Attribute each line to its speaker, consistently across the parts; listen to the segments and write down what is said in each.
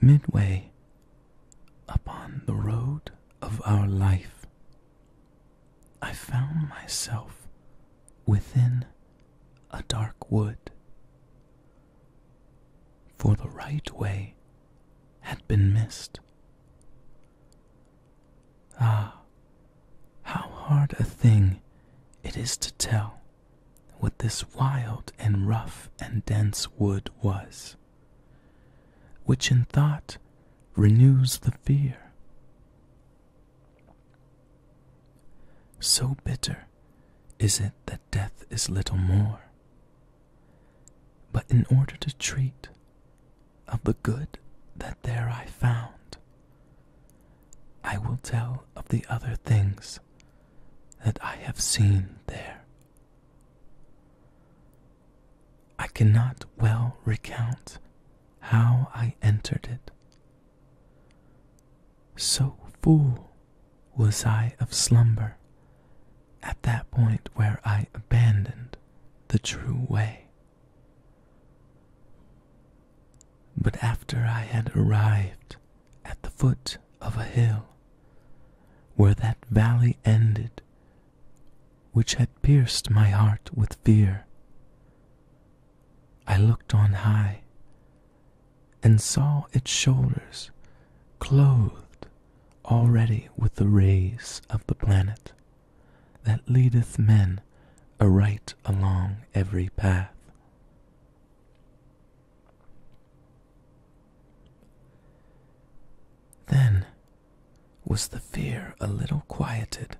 Speaker 1: Midway upon the road of our life, I found myself within a dark wood, for the right way had been missed. Ah, how hard a thing it is to tell what this wild and rough and dense wood was, which in thought renews the fear. So bitter is it that death is little more. But in order to treat of the good that there I found, I will tell of the other things that I have seen there. I cannot well recount how I entered it. So full was I of slumber at that point where I abandoned the true way. But after I had arrived at the foot of a hill, where that valley ended which had pierced my heart with fear. I looked on high and saw its shoulders clothed already with the rays of the planet that leadeth men aright along every path. Then was the fear a little quieted,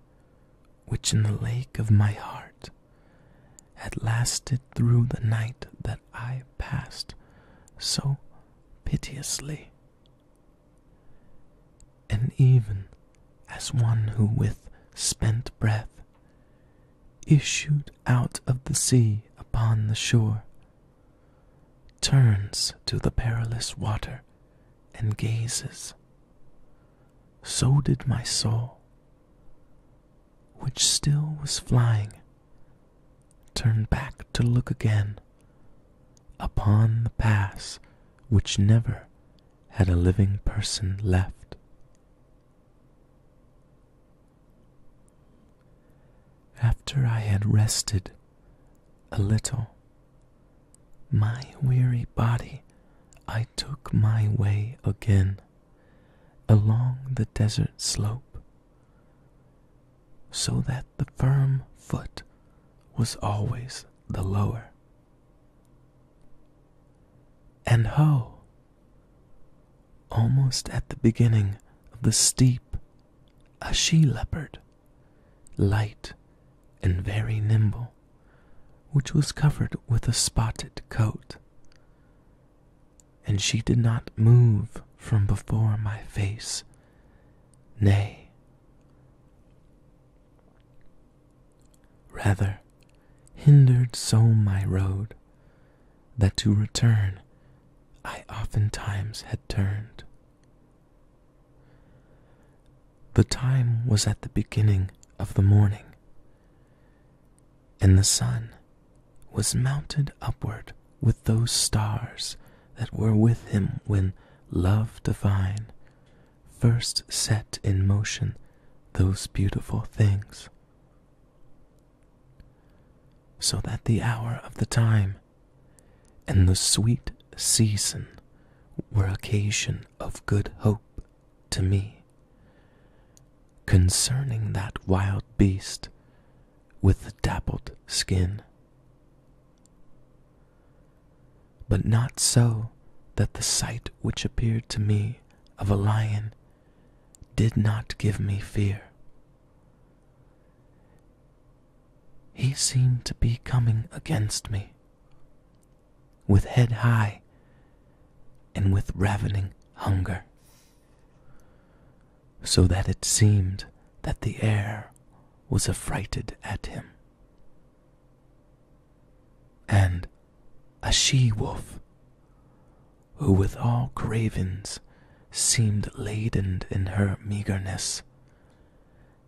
Speaker 1: which in the lake of my heart had lasted through the night that I passed so piteously. And even as one who with spent breath issued out of the sea upon the shore, turns to the perilous water and gazes. So did my soul, which still was flying, turn back to look again upon the pass which never had a living person left. After I had rested a little, my weary body I took my way again along the desert slope, so that the firm foot was always the lower. And ho! Almost at the beginning of the steep, a she leopard, light and very nimble, which was covered with a spotted coat. And she did not move from before my face, nay, rather hindered so my road that to return I oftentimes had turned. The time was at the beginning of the morning, and the sun was mounted upward with those stars that were with him when love divine first set in motion those beautiful things so that the hour of the time and the sweet season were occasion of good hope to me concerning that wild beast with the dappled skin. But not so that the sight which appeared to me of a lion did not give me fear. He seemed to be coming against me, with head high and with ravening hunger, so that it seemed that the air was affrighted at him and a she wolf, who with all cravens seemed laden in her meagerness,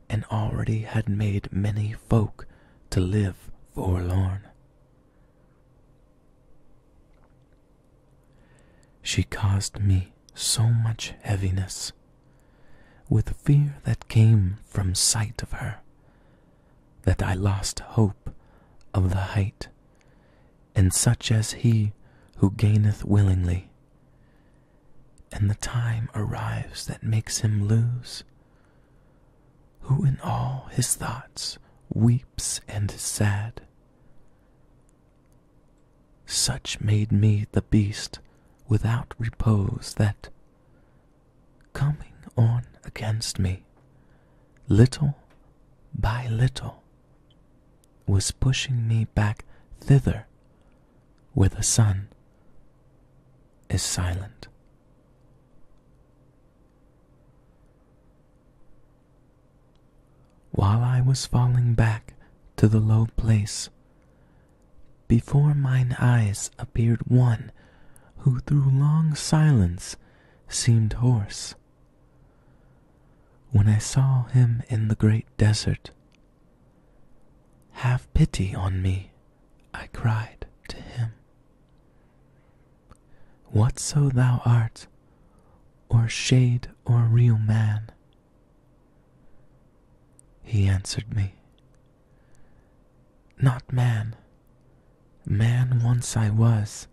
Speaker 1: and already had made many folk to live forlorn. She caused me so much heaviness with fear that came from sight of her that I lost hope of the height, and such as he who gaineth willingly. And the time arrives that makes him lose, who in all his thoughts weeps and is sad. Such made me the beast without repose that, coming on against me, little by little, was pushing me back thither where the sun is silent. While I was falling back to the low place, before mine eyes appeared one who through long silence seemed hoarse. When I saw him in the great desert, have pity on me, I cried to him. Whatso thou art, or shade or real man, he answered me, Not man, Man once I was,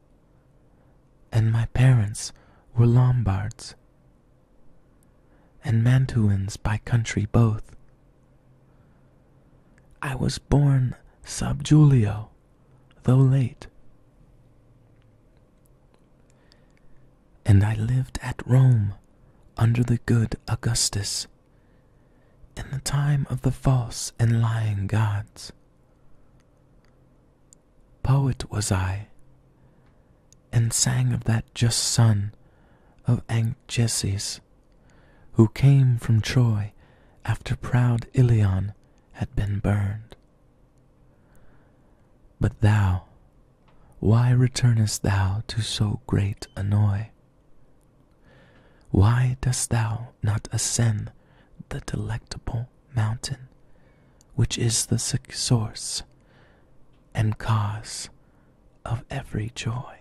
Speaker 1: and my parents were Lombards, and Mantuans by country both. I was born sub Julio, though late, and I lived at Rome under the good Augustus in the time of the false and lying gods. Poet was I, and sang of that just son of Anchises, who came from Troy after proud Ilion had been burned. But thou, why returnest thou to so great annoy? Why dost thou not ascend the delectable mountain, which is the source and cause of every joy?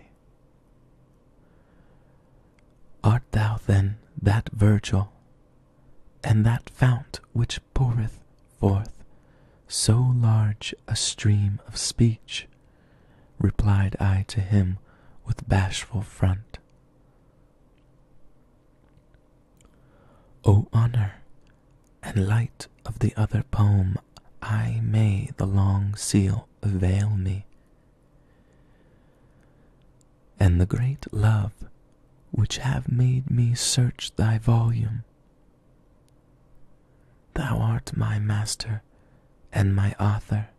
Speaker 1: Art thou then that Virgil, and that fount which poureth forth so large a stream of speech replied I to him with bashful front. O honor and light of the other poem, I may the long seal avail me, and the great love which have made me search thy volume. Thou art my master and my author.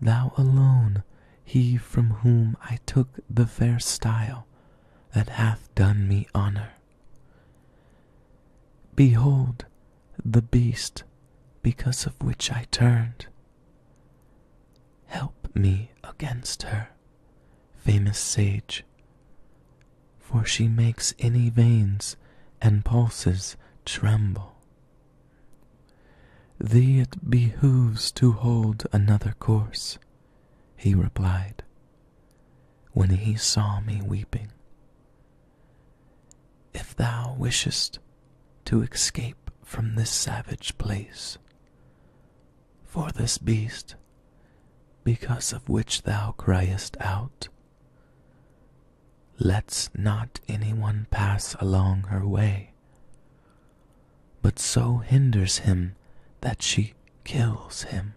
Speaker 1: Thou alone, he from whom I took the fair style that hath done me honor. Behold the beast because of which I turned. Help me against her, famous sage, for she makes any veins and pulses tremble. Thee it behooves to hold another course, he replied, when he saw me weeping. If thou wishest to escape from this savage place, for this beast, because of which thou criest out, lets not any one pass along her way, but so hinders him that she kills him.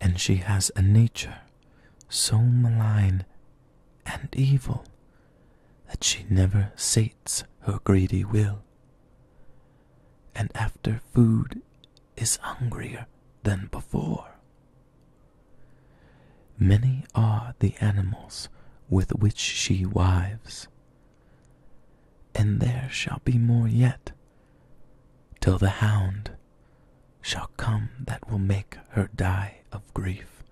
Speaker 1: And she has a nature so malign and evil that she never sates her greedy will, and after food is hungrier than before. Many are the animals with which she wives, and there shall be more yet, till the hound shall come that will make her die of grief.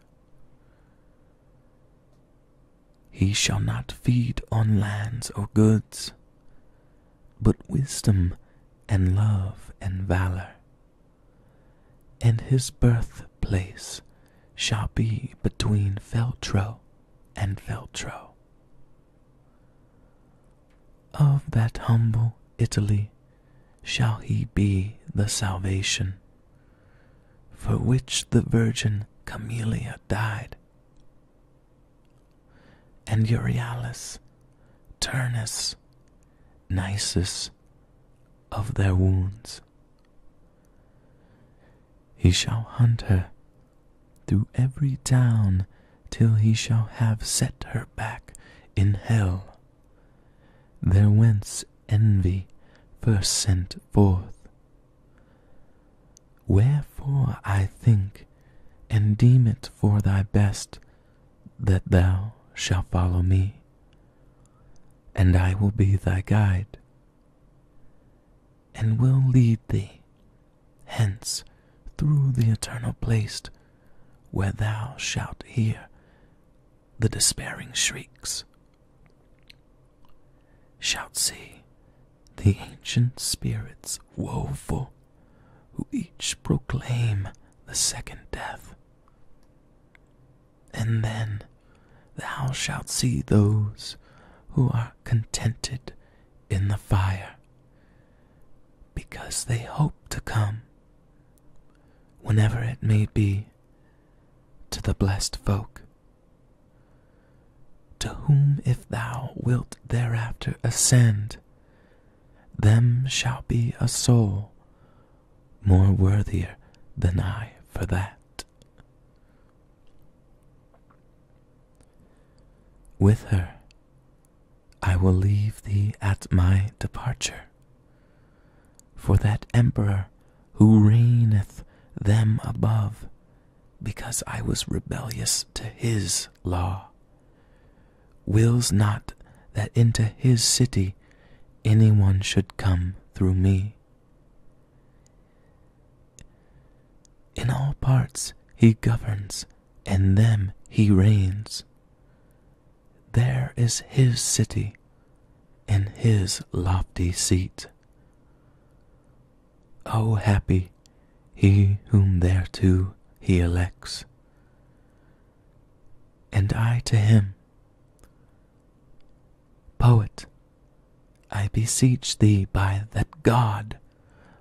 Speaker 1: He shall not feed on lands or goods, but wisdom and love and valor and his birthplace shall be between Feltro and Feltro. Of that humble Italy shall he be the salvation, for which the Virgin Camelia died. And Euryalus Turnus, nicest of their wounds. He shall hunt her through every town till he shall have set her back in hell, there whence envy first sent forth. Wherefore I think and deem it for thy best that thou shalt follow me, and I will be thy guide, and will lead thee hence through the eternal place where thou shalt hear the despairing shrieks, shalt see the ancient spirits woeful who each proclaim the second death. And then thou shalt see those who are contented in the fire, because they hope to come, whenever it may be, to the blessed folk, to whom if thou wilt thereafter ascend them shall be a soul more worthier than I for that. With her I will leave thee at my departure, for that emperor who reigneth them above, because I was rebellious to his law wills not that into his city any one should come through me. In all parts he governs, and them he reigns. There is his city, in his lofty seat. O oh, happy he whom thereto he elects, and I to him. Poet, I beseech thee by that God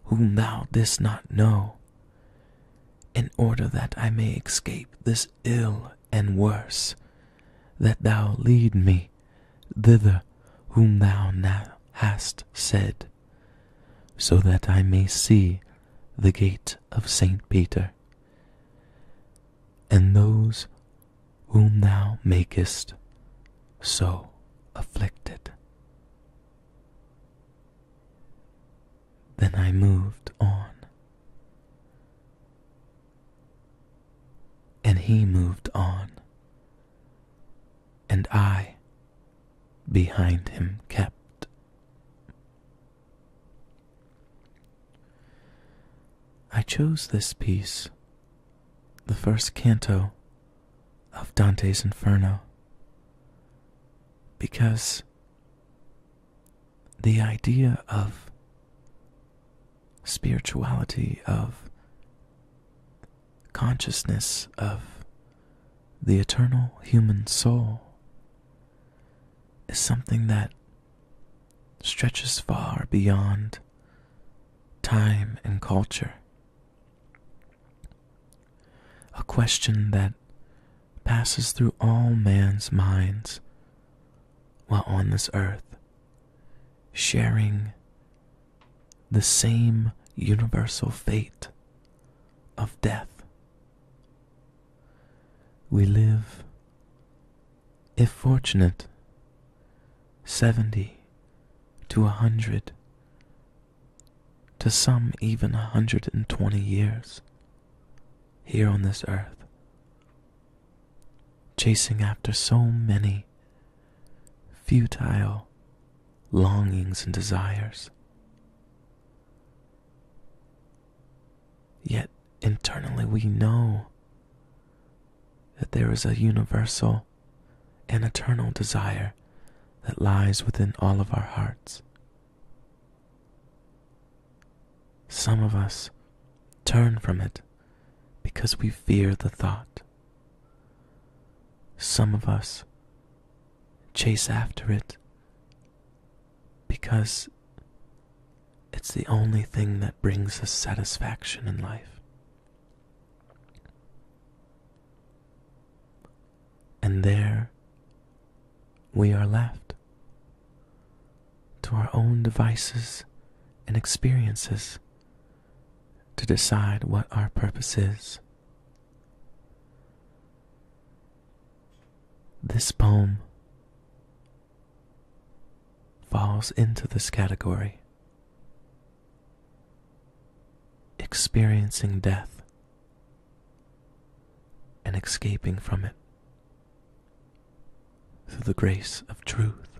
Speaker 1: whom thou didst not know, in order that I may escape this ill and worse, that thou lead me thither whom thou now hast said, so that I may see the gate of Saint Peter, and those whom thou makest so afflicted. Then I moved on, and he moved on, and I behind him kept. I chose this piece, the first canto of Dante's Inferno, because the idea of spirituality, of consciousness, of the eternal human soul is something that stretches far beyond time and culture. A question that passes through all man's minds while on this earth, sharing the same universal fate of death. We live, if fortunate, seventy to a hundred, to some even a hundred and twenty years here on this earth, chasing after so many futile longings and desires. Yet internally we know that there is a universal an eternal desire that lies within all of our hearts. Some of us turn from it because we fear the thought. Some of us chase after it because it's the only thing that brings us satisfaction in life. And there we are left to our own devices and experiences to decide what our purpose is. This poem falls into this category experiencing death and escaping from it through the grace of truth.